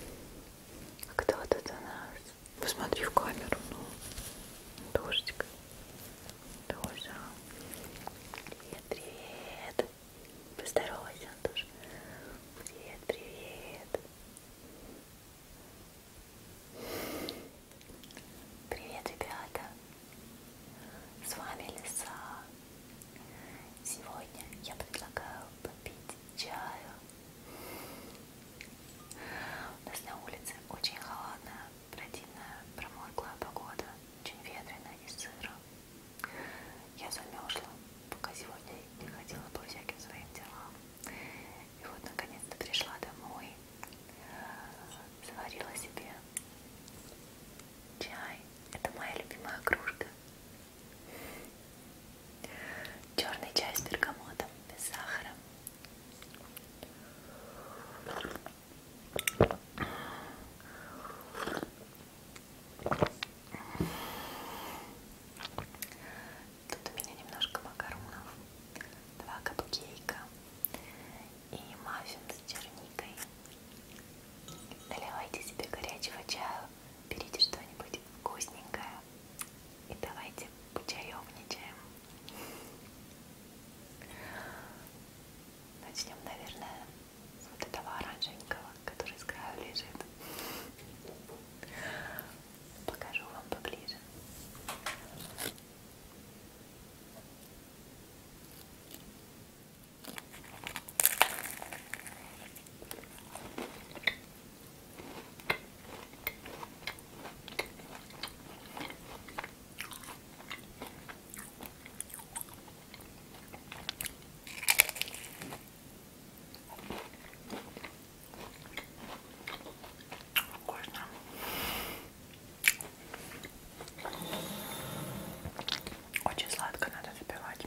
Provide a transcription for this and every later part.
А кто тут у нас? Посмотри в камеру, ну. Дождик. Тоже. Привет, привет. Поздоровайся, Антош. Привет, привет. Привет, ребята. С вами Лиса. Сегодня я предлагаю попить чаю у нас на улице очень холодная, противная, промозглая погода, очень ветрено и сыро. Я замерзла, пока сегодня не ходила по всяким своим делам. И вот наконец-то пришла домой, заварила себе чай. Это моя любимая кружка Черный чай с бергамотом, без сахара. Тут у меня немножко макаронов, два капкейка и маффин с черникой. Наливайте себе горячего чая берите что-нибудь вкусненькое и давайте почаевничаем. Начнем, наверное, с вот этого оранжевенького, который с краю лежит. Покажу вам поближе. Вкусно. Очень сладко надо запивать.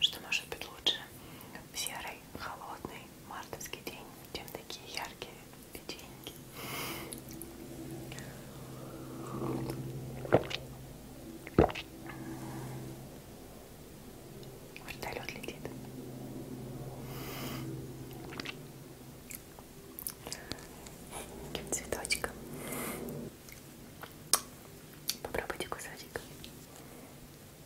Что может быть лучше в серый, холодный мартовский день, чем такие яркие печеньки. Вертолет летит. Цветочком. Попробуйте кусочек.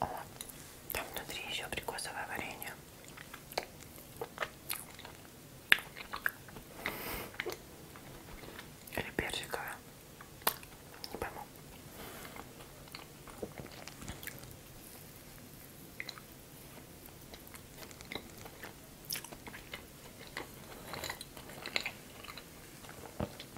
О, там внутри еще абрикосовое варенье. Или персиковое. Не пойму.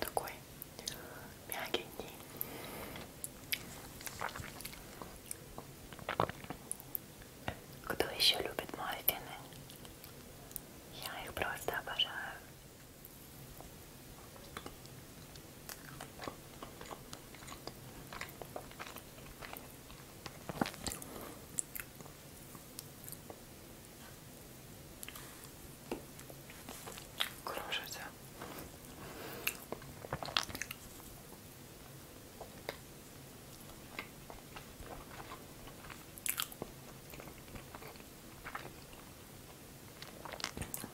такой мягенький. Кто еще любит маффины? Я их просто обожаю кружится.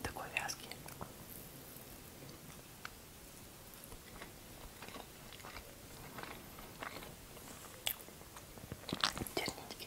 Такой вязкий. Тернички.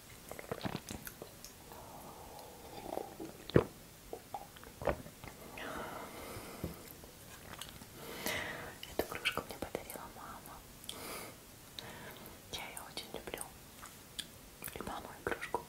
Эту кружку мне подарила мама. Я ее очень люблю. И маму, и кружку.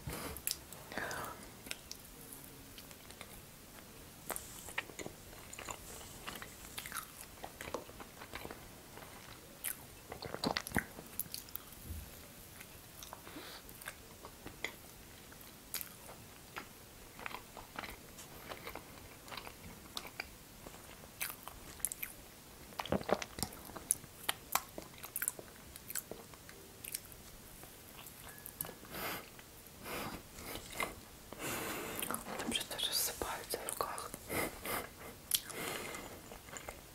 Там просто рассыпаются в руках.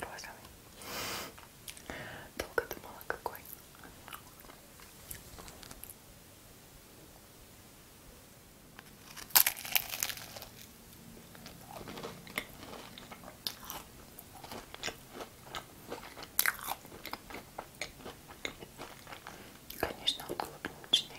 Розовый. Долго думала, какой. Конечно, он клубничный.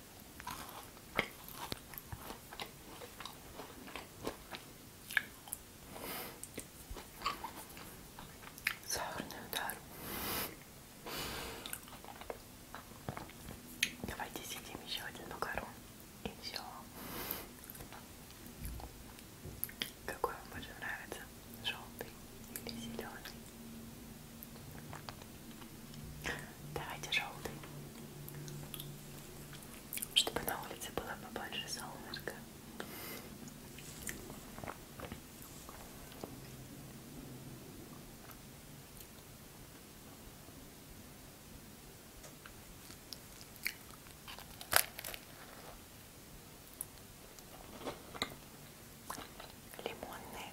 Сахарный удар. Давайте съедим еще один макарон. И все. Какой вам больше нравится? Желтый или зеленый? Давайте желтый. Чтобы на улице было побольше солнышка. Лимонные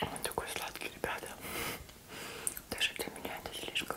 Он такой сладкий, ребята. Даже для меня это слишком.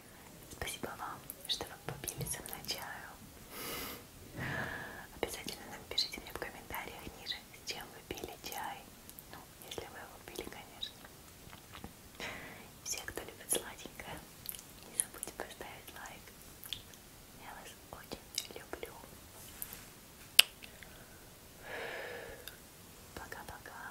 Спасибо вам, что вы попили со мной чаю. Обязательно напишите мне в комментариях ниже, с чем вы пили чай. Ну, если вы его пили, конечно. Все, кто любит сладенькое, не забудьте поставить лайк. Я вас очень люблю. Пока-пока.